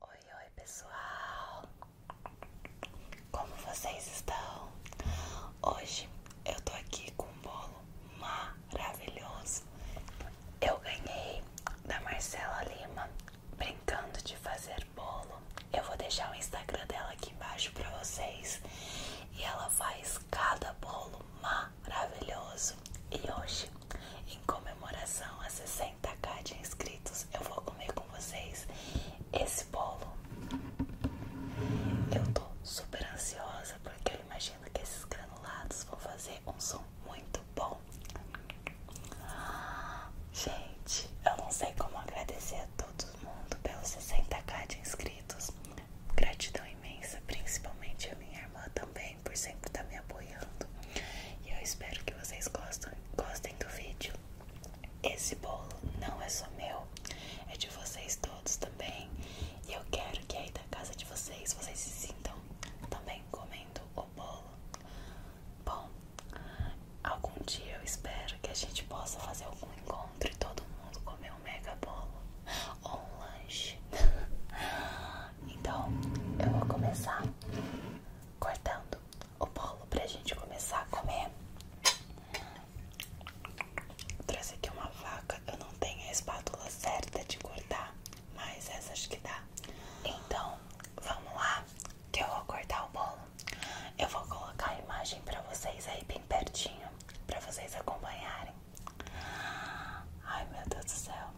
Oi, oi pessoal! Como vocês estão? Hoje eu tô aqui com um bolo maravilhoso. Eu ganhei da Marcela Lima brincando de fazer bolo. Eu vou deixar o Instagram dela aqui embaixo para vocês. E ela faz cada bolo maravilhoso. E hoje, em comemoração a 60 60k de inscritos, eu vou comer com vocês esse bolo. Eu tô super ansiosa porque eu imagino que esses granulados vão fazer um som muito bom. Gente, eu não sei como agradecer a todo mundo pelos 60k de inscritos. Gratidão imensa, principalmente a minha irmã também, por sempre estar me apoiando. E eu espero que vocês gostem do vídeo. Esse bolo não é só meu, é de vocês todos também. E eu quero que aí da casa de vocês, vocês se sintam também comendo o bolo. Bom, algum dia eu espero que a gente possa fazer algum encontro e todo mundo comer um mega bolo ou um lanche. então eu vou começar cortando o bolo para a gente começar a comer. Vou aqui uma vaca que eu não tenho a espátula certa de cortar, mas essa acho que dá. Então, vamos lá, que eu vou cortar o bolo. Eu vou colocar a imagem para vocês aí bem pertinho, para vocês acompanharem. Ai meu Deus do céu,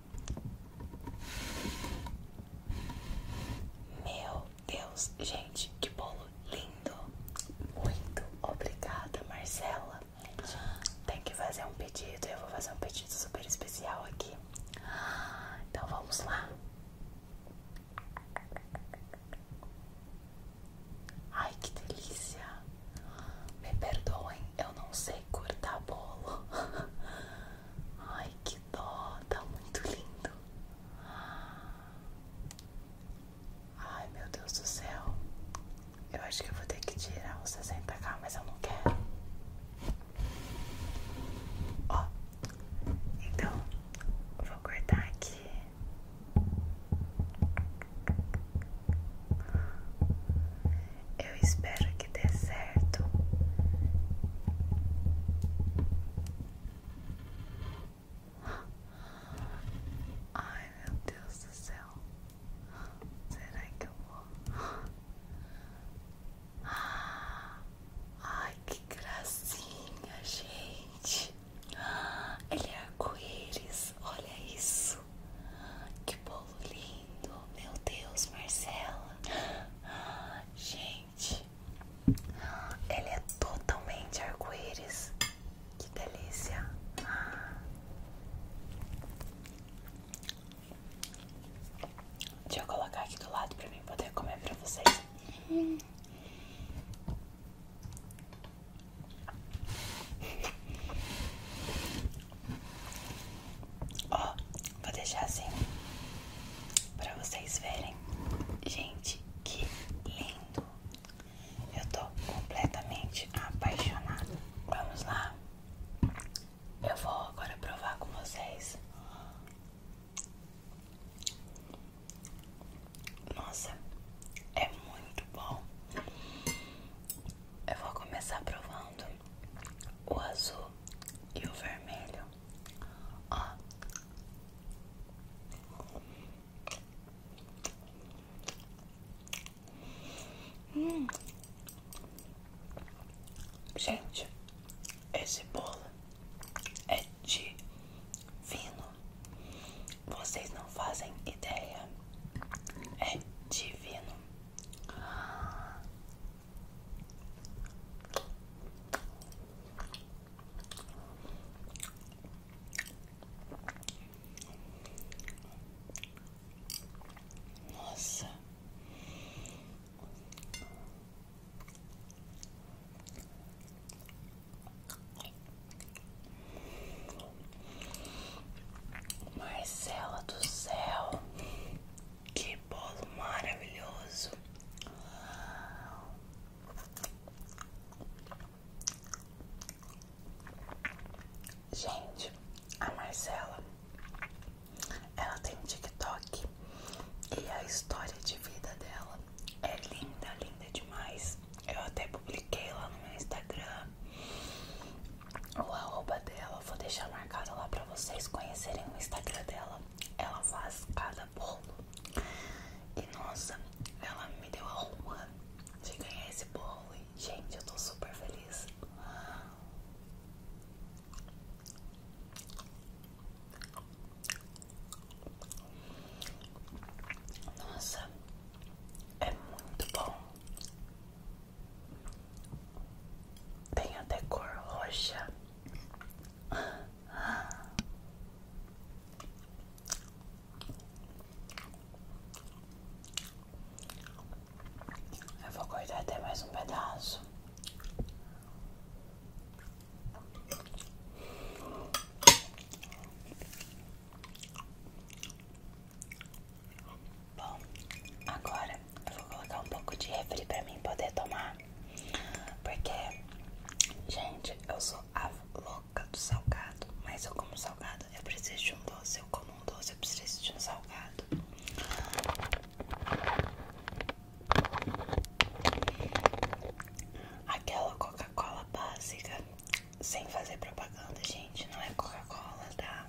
meu Deus, gente, que bolo lindo! Muito obrigada, Marcela. Tem que fazer um pedido, eu vou fazer um pedido super especial aqui. Então vamos lá. Ai, que delícia! Me perdoem, eu não sei cortar bolo. Ai, que dó, tá muito lindo. Ai, meu Deus do céu. Eu acho que eu vou ter que tirar os 60 cá mas eu não quero. Ó, então vou cortar aqui. Eu espero que dê certo. Ai meu Deus do céu, será que eu vou? Ai que gracinha, gente! Ele é arco-íris, olha isso! Que bolo lindo! meu Deus, Marcela. Ah, gente, ele é totalmente arco-íris. Que delícia. Deixa eu colocar aqui do lado pra mim poder comer pra vocês. Ó, vou deixar assim pra vocês verem. Gente, que lindo! Eu tô completamente apaixonada. Vamos lá. Eu vou agora provar com vocês. Nossa, é muito bom. Eu vou começar provando o azul e o vermelho, ó. Hum. Gente, esse bolo é divino. Vocês não fazem ideia. É divino. Nossa. Marcela do céu, que bolo maravilhoso! Gente, a Marcela ela tem um TikTok e a história de vida dela é linda, linda demais. Eu até publiquei lá no meu Instagram o arroba dela vou deixar marcado lá pra vocês conhecerem o Instagram dela. Ela faz cada bolo. E nossa, ela me deu a rua de ganhar esse bolo. gente, eu tô super feliz. Nossa, é muito bom. Tem até cor roxa. Eu vou cortar até mais um pedaço. Bom, agora eu vou colocar um pouco de refri pra mim poder tomar. Porque, gente, eu sou a louca do salgado. Mas eu como salgado, eu preciso de um doce. Eu como um doce, eu preciso de um salgado. Aquela Coca-Cola básica, sem fazer propaganda, gente, não é Coca-Cola, tá?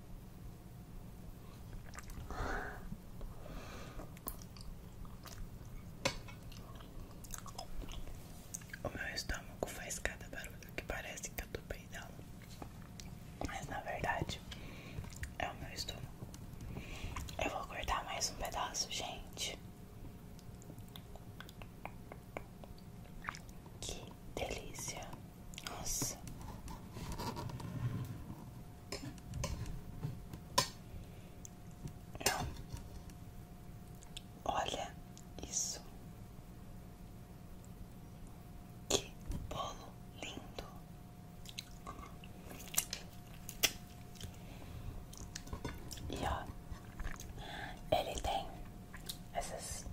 O meu estômago faz cada barulho que parece que eu tô peidando, mas na verdade é o meu estômago. Eu vou cortar mais um pedaço, gente. Que delícia! Nossa. Não. Olha isso. Que bolo lindo. E ó, ele tem essas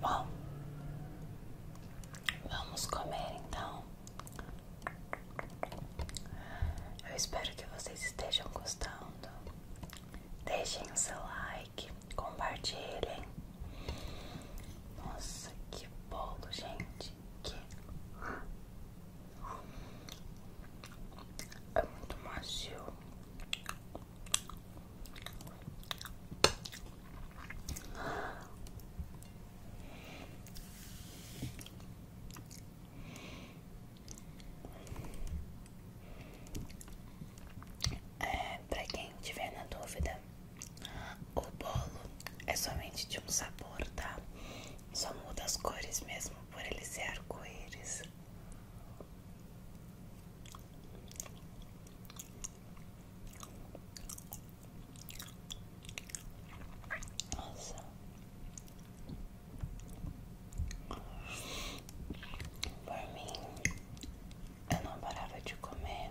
Bom, vamos comer então. Eu espero que vocês estejam gostando. Deixem o seu like, compartilhem. Nossa, que bolo, gente. Que é muito macio. É, para quem tiver na dúvida, o bolo é somente de um sabor, tá? Só muda as cores mesmo por ele ser arco-íris. Por mim, eu não parava de comer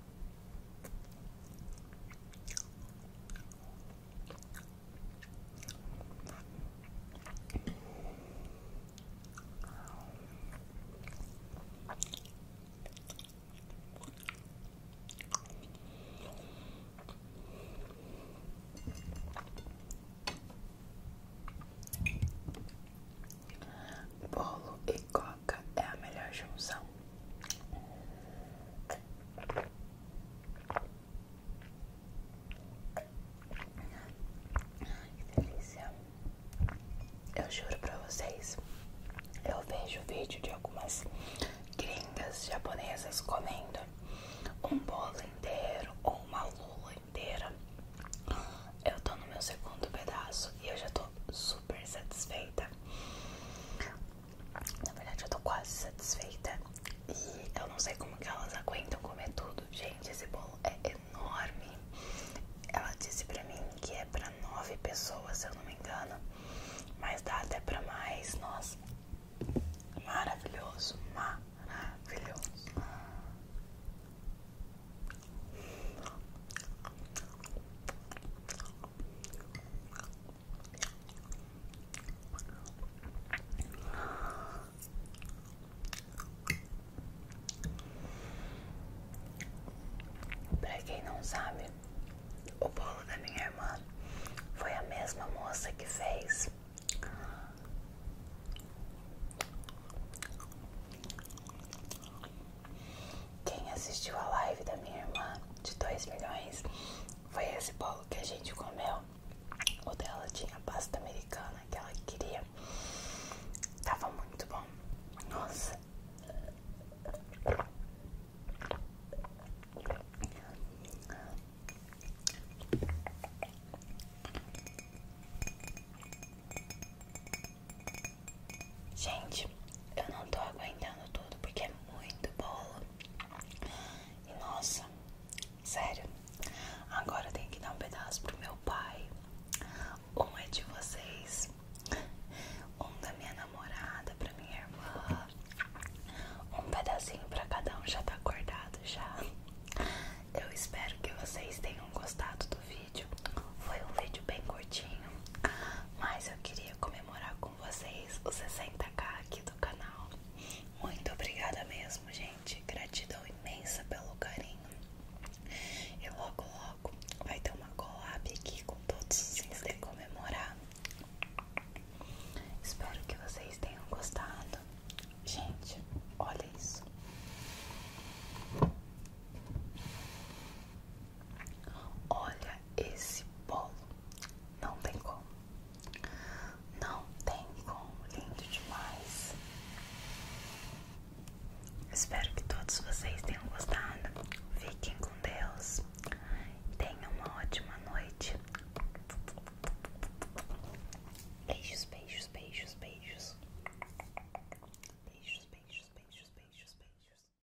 Bolo e cola é a melhor junção. Que delícia! Eu juro pra vocês, eu vejo vídeo de algumas gringas japonesas comendo um bolo inteiro ou uma lula inteira. Eu tô no meu segundo pedaço e eu já tô super satisfeita. Na verdade eu tô quase satisfeita e eu não sei como que elas aguentam comer tudo. Gente, esse bolo é enorme. Ela disse pra mim que é pra nove pessoas, se eu não me engano. Mas dá até pra mais, nossa. Maravilhoso, maravilhoso. Pra quem não sabe, o bolo da minha irmã foi a mesma moça que fez quem assistiu a live da minha irmã de 2 milhões foi esse bolo que a gente comeu. O dela tinha pasta americana que ela queria. Tava muito bom. Nossa. Gente, eu não tô aguentando tudo porque é muito bolo. E nossa, sério. Agora eu tenho que dar um pedaço pro meu pai. Um é de vocês, um da minha namorada, pra minha irmã. Um pedacinho pra cada um já tá acordado já. Eu espero que vocês tenham gostado do vídeo. Foi um vídeo bem curtinho, mas eu queria comer com vocês os 60k aqui do canal. Muito obrigada mesmo, gente. Gratidão imensa pelo carinho. E logo, logo vai ter uma collab aqui com todos os fins de comemorar. Espero que vocês tenham gostado. Gente, olha isso. Olha esse bolo. Não tem como. Não tem como. Lindo demais. Espero que todos vocês tenham gostado. Fiquem com Deus. Tenham uma ótima noite. Beijos, beijos, beijos, beijos. Beijos, beijos, beijos, beijos, beijos.